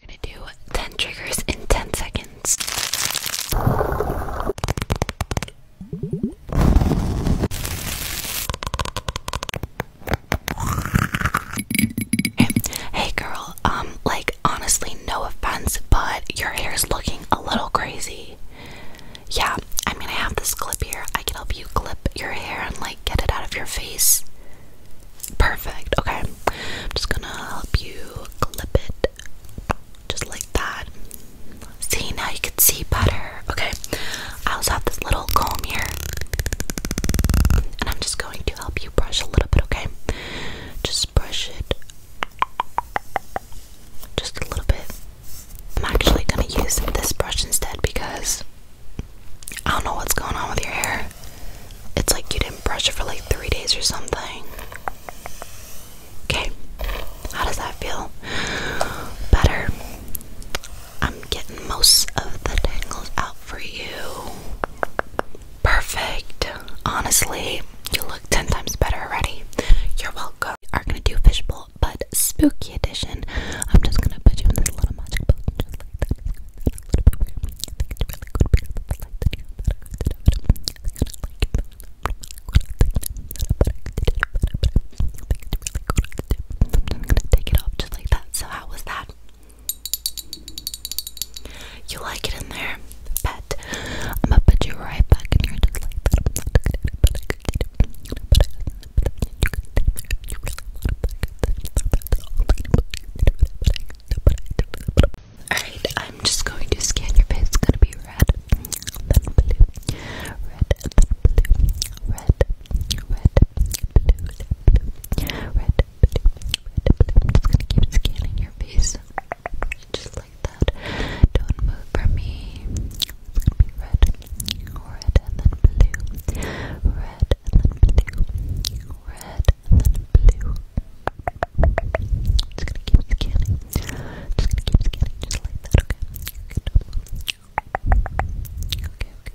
We're gonna do 10 triggers in 10 seconds. Hey girl, um, like honestly, no offense, but your hair's looking a little crazy. Yeah, I mean, I have this clip here. I can help you clip your hair and like get it out of your face. Perfect. Okay. I'm just gonna help you clip it just like that. See, now you can see better. Okay. I also have this little comb here. And I'm just going to help you brush a little bit, okay? Just brush it just a little bit. I'm actually gonna use this brush instead because I don't know what's going on with your hair. It's like you didn't brush it for like three days or something. Okay, how does that feel? Better. I'm getting most of the tangles out for you. Perfect. Honestly, you look 10 times better already. You're welcome. We are going to do fishbowl, but spooky edition. I'm just going to put you in this little magic box. I'm gonna take it off just like that. So how was that? You like it in there? Bet. I'm gonna put you right back in here just like that. Alright, I'm just going to scan your face. It's gonna be red, red, red, red, red, red, I'm just gonna keep scanning your face. Just like that. Don't move from me. It's gonna be red, red, and then blue, red, red and then blue, red and then blue. Just gonna keep scanning, just gonna keep scanning just like that, okay? Good. Okay, okay, okay.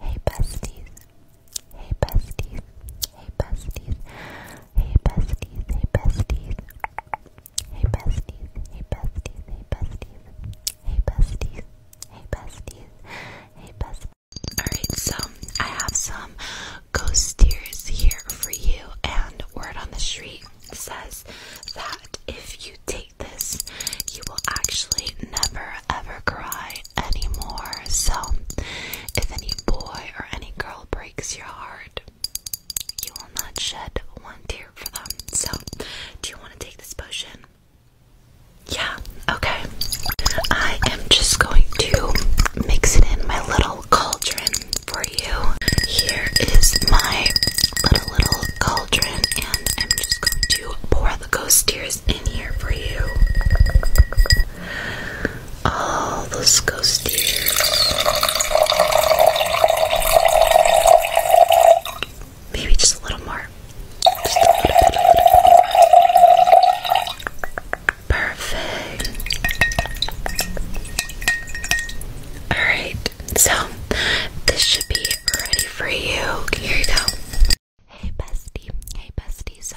Hey besties. Hey besties. Hey besties. Hey besties. Hey besties. Hey besties. Hey besties. Hey besties. Hey besties. Hey besties. Hey besties. Alright, so I have some ghost tears here for you and word on the street says that if you take this you will actually never ever cry anymore. So if any boy or any girl breaks your heart, you will not shed one tear for them. So, do you want to take this potion? Yeah, okay. I am just going to mix it in my little cauldron for you. Here is my little, little cauldron, and I'm just going to pour the ghost tears in here for you all those ghost ears. Maybe just a little more. Perfect. Alright, so this should be ready for you. Here you go. Hey bestie, hey bestie. So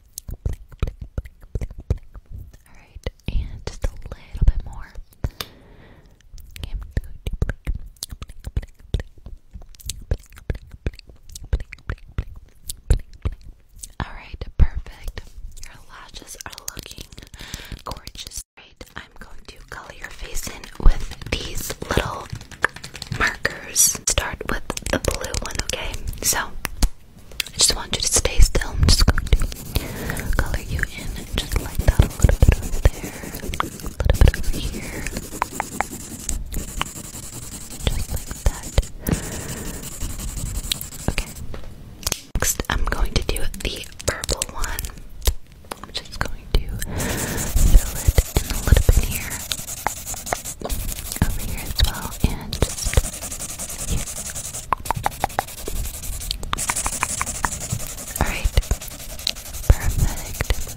blink, blink, blink, blink, blink. Alright, and just a little bit more. Alright, perfect. Your lashes are looking gorgeous. Right, I'm going to color your face in with these little markers. Start with the blue one, okay? So I just want you to stay still. I'm just going to color you in just like that. A little bit over there, a little bit over here. Just like that. Okay. Next, I'm going to do the purple one. I'm just going to fill it in a little bit here over here as well, and here. Alright, perfect.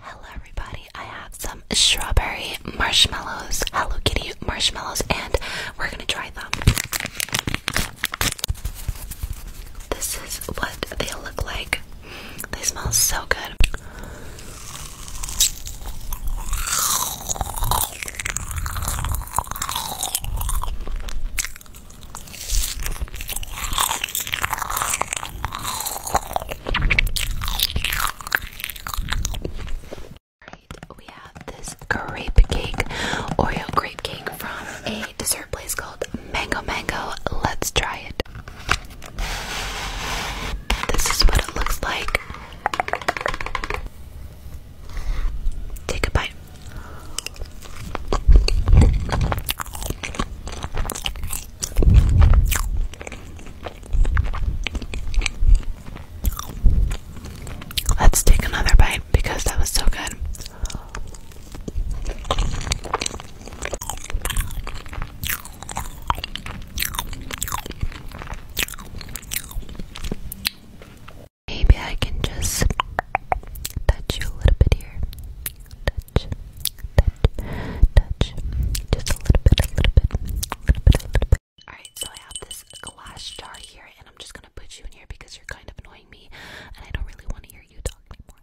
Hello, everybody. I have some strawberry marshmallows, Hello Kitty marshmallows, and we're gonna try them. This is what they look like. They smell so good. Right, we have this grape cake, Oreo grape cake from a dessert place called Mango Mango. Let's try it. This is what it looks like. Take a bite. Let's take another bite because that was so good. Maybe I can just touch you a little bit here. Touch, touch, touch. Just a little bit, a little bit, a little bit, a little bit. Alright, so I have this glass jar here, and I'm just gonna put you in here because you're kind of annoying me, and I don't really want to hear you talk anymore.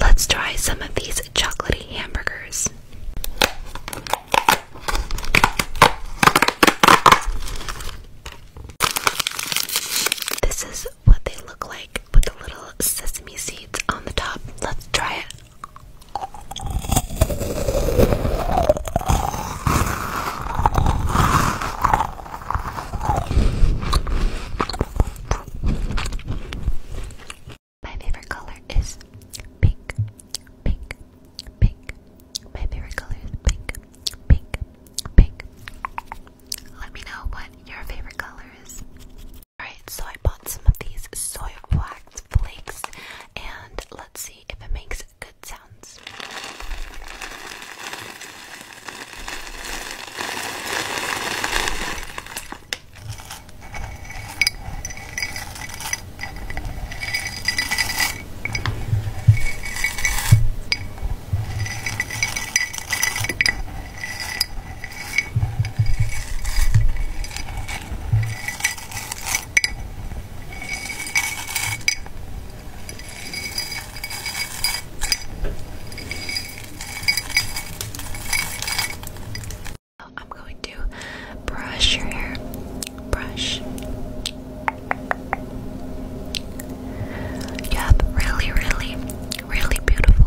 Let's try some of these chocolatey hamburgers. This is what they look like with the little sesame seeds on the top. Let's try it. My favorite color is pink, pink, pink. My favorite color is pink, pink, pink. Let me know what your favorite color is. Alright, so I bought some of these soy wax flakes and let's see if it makes good sounds. I'm going to brush your hair. Brush. You really, really, really beautiful,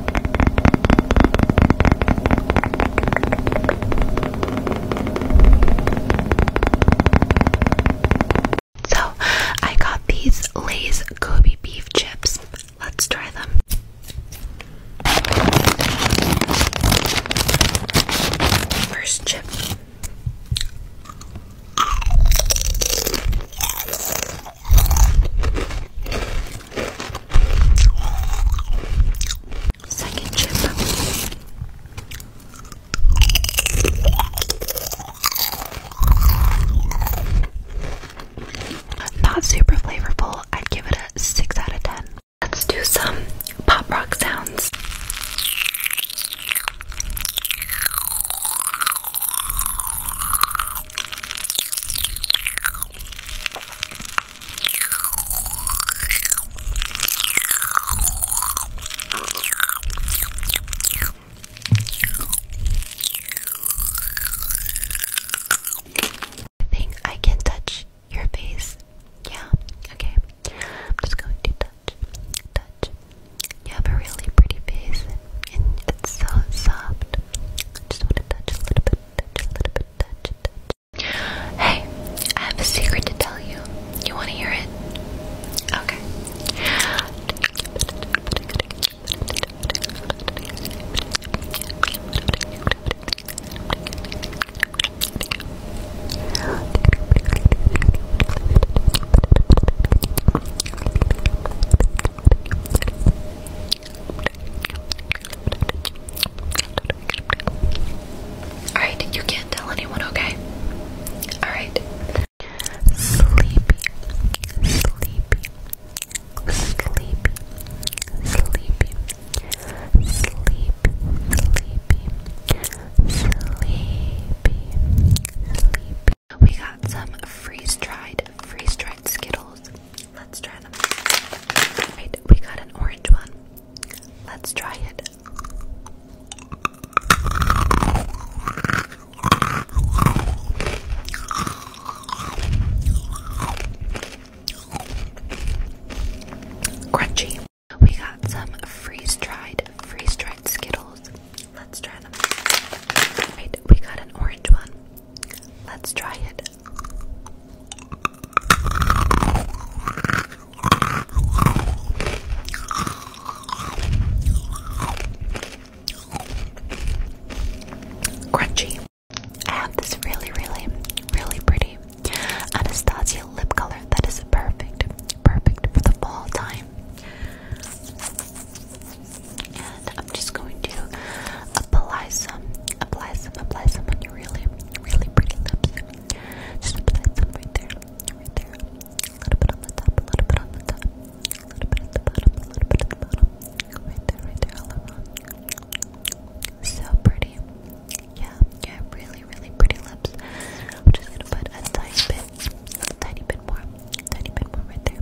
So, I got these Lay's Kobe beef chips. Let's try them. First chip. Second chip. Not super flavorful. I'd give it a 6 out of 10. Let's do some pop rock sounds. I think I can touch your face. Yeah, okay. I'm just going to touch, touch, you have a really pretty face, and it's so soft. I just want to touch a little bit, touch a little bit, touch, touch. Hey, I have a secret to tell you. You want to hear it? Okay. Alright, you can't tell anyone, okay? Alright. Sleepy, sleepy, sleepy, sleepy, sleepy, sleepy, sleepy, sleepy, we got some freeze-dried, freeze-dried Skittles. Let's try them. we got an orange one. Let's try it. Crunchy. We got some freeze-dried, freeze-dried Skittles. Let's try them. Wait, we got an orange one. Let's try it. Crunchy. I have this really, really, really pretty Anastasia lip color that is perfect, perfect for the fall time and I'm just going to apply some, apply some, apply some on your really, really pretty lips. Just apply some right there, right there. A little bit on the top, a little bit on the top, a little bit at the bottom, a little bit at the bottom. Right there, right there, So pretty. Yeah, yeah, really, really pretty lips. I'm just gonna put a tiny bit, tiny bit more, tiny bit more right there.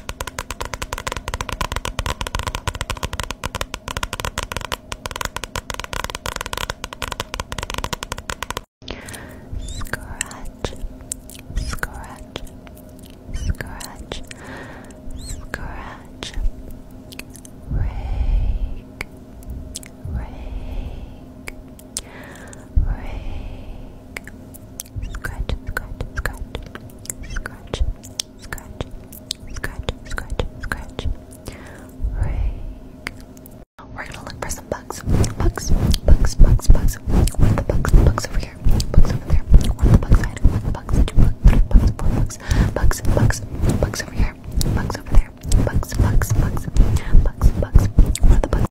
Scratch, scratch, scratch, scratch, rake, rake, rake, Scratch, scratch, scratch, scratch, scratch, scratch, scratch, scratch. Rake. We're gonna look for some bugs. Bugs, bugs, bugs, bugs. One of the bugs, bugs over here, bugs over there. One the bugs side, the bugs, two bugs, three bugs, four bugs. Bugs, bugs, bugs over here, bugs over there. Bugs, bugs, bugs, bugs, bugs. One the bugs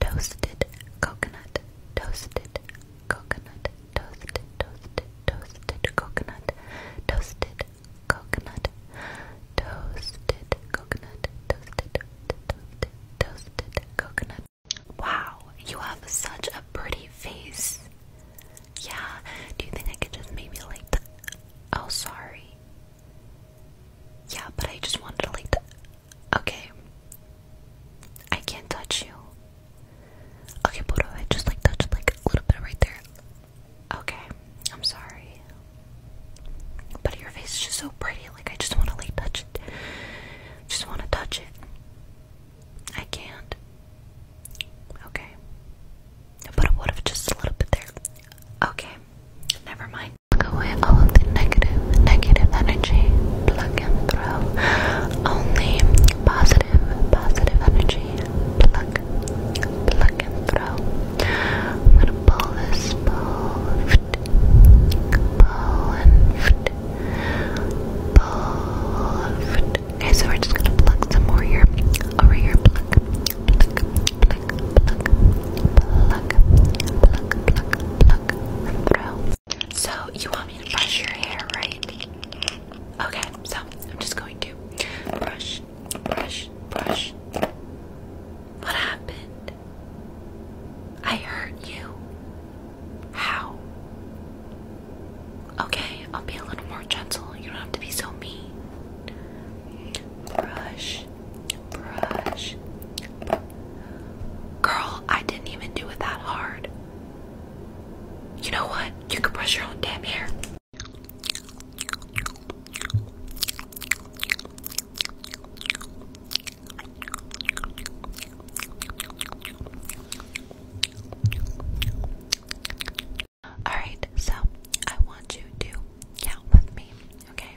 Toasted coconut, toasted coconut, toasted, toasted, toasted coconut, toasted coconut, toasted coconut, toasted, toasted, toasted coconut. Wow, you have such a pretty face. Yeah, do you think I could just maybe like the. Oh, sorry. Yeah, but I just wanted to like the. Okay. I can't touch you. Okay, but I just like touch like a little bit right there? Okay, I'm sorry. But your face is just so pretty, like I just wanna like touch it. Just wanna touch it. I can't. Okay. But what if just a little bit there? Okay. Never mind. Pluck away all of the negative, negative energy. Plug and throw. Only positive, positive energy. Pluck, pluck and throw. I'm gonna pull this, pull, pull and pull. Okay, so we're just gonna pluck some more here. Over here, pluck, pluck, pluck, pluck, pluck, pluck, pluck. So you want me to brush your hair, right? Okay, so I'm just going to brush, brush, brush. What happened? I hurt you. How? Okay, I'll be a little more gentle. You don't have to be so mean. Brush, brush, Girl, I didn't even do it that hard. You know what? You can brush your own damn hair. All right, so I want you to count with me, okay?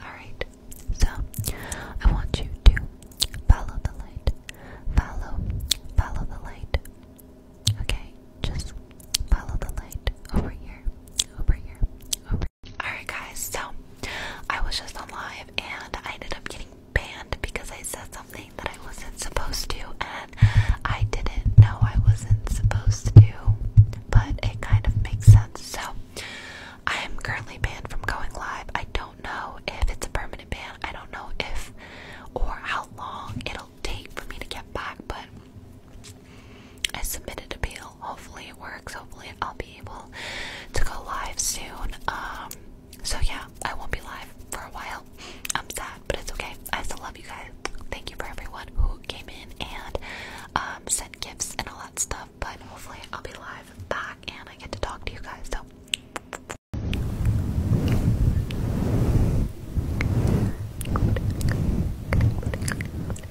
Alright, so I want you to follow the light. Follow, follow the light. Okay, just follow the light over here, over here, over here. Alright, guys, so I was just on live and I ended up getting banned because I said something that I wasn't supposed to, and I didn't know I wasn't supposed to, but it kind of makes sense. So I am currently banned from going live. I don't know if it's a permanent ban, I don't know if or how long it'll take for me to get back, but I submitted appeal. Hopefully it works. Hopefully I'll be able to go live soon. Um, so yeah, I won't be live for a while. I'm sad, but it's okay. I still love you guys. Thank you for everyone who came in and um, sent gifts and all that stuff. But hopefully I'll be live back and I get to talk to you guys. So.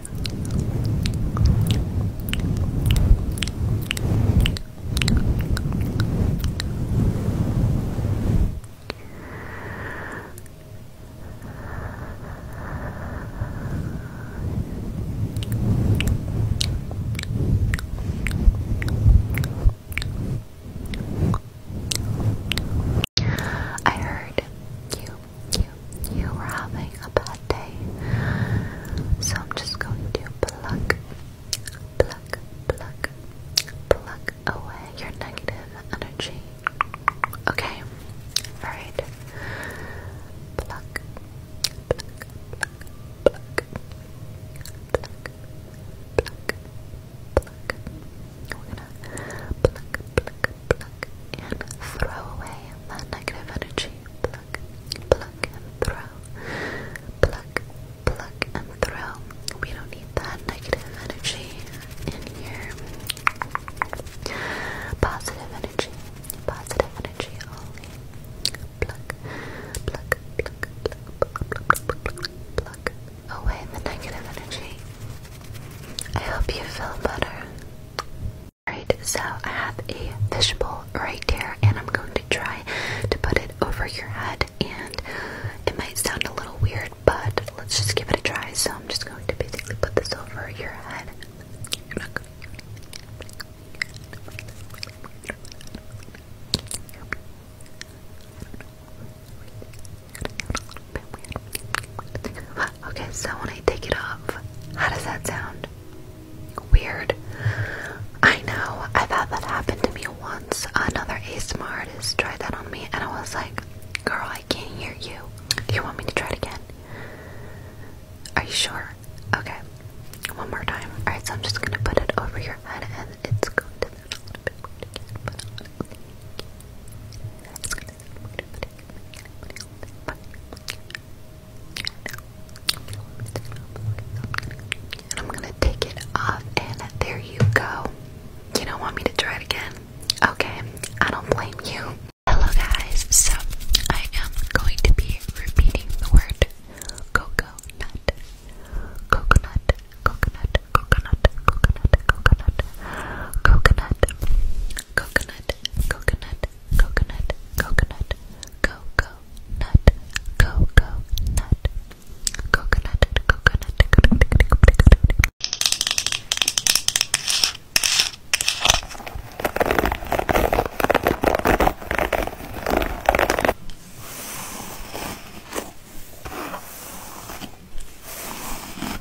I heard you you you were having a bad day. So I'm just going to pluck, pluck, pluck, pluck away your negative energy. Okay? Alright. Pluck, pluck, pluck, pluck, pluck, pluck, pluck. We're gonna pluck, pluck, pluck, and throw away that negative energy. Pluck, pluck, and throw. Pluck, pluck, and throw. We don't need that negative energy in here. Positive energy, positive energy only. Pluck, pluck, pluck, pluck, pluck, pluck, pluck, pluck away the negative energy. I hope you feel better. Alright, so I have a fishbowl right here, and I'm going to try to put it over your head. And it might sound a little weird, but let's just give it a try. So I'm just going to basically put this over your head. Okay, so when I take it off, how does that sound? Weird. I know. I've had that happen to me once. Another ASMR artist tried that on me, and I was like, "Girl, I can't hear you. Do you want me to try it again?" Are you sure? Okay, one more time. All right, so I'm just gonna put it over your head, and it's going to. It's going I'm gonna take it off, and there you go. You don't want me to try it again? Okay, I don't blame you. Hello, guys. So, I am going to be repeating the word coconut. Coconut, coconut, coconut, coconut, coconut, coconut, coconut, coconut, coconut, coconut, cocoa, nut, cocoa, nut, coconut, coconut, coconut.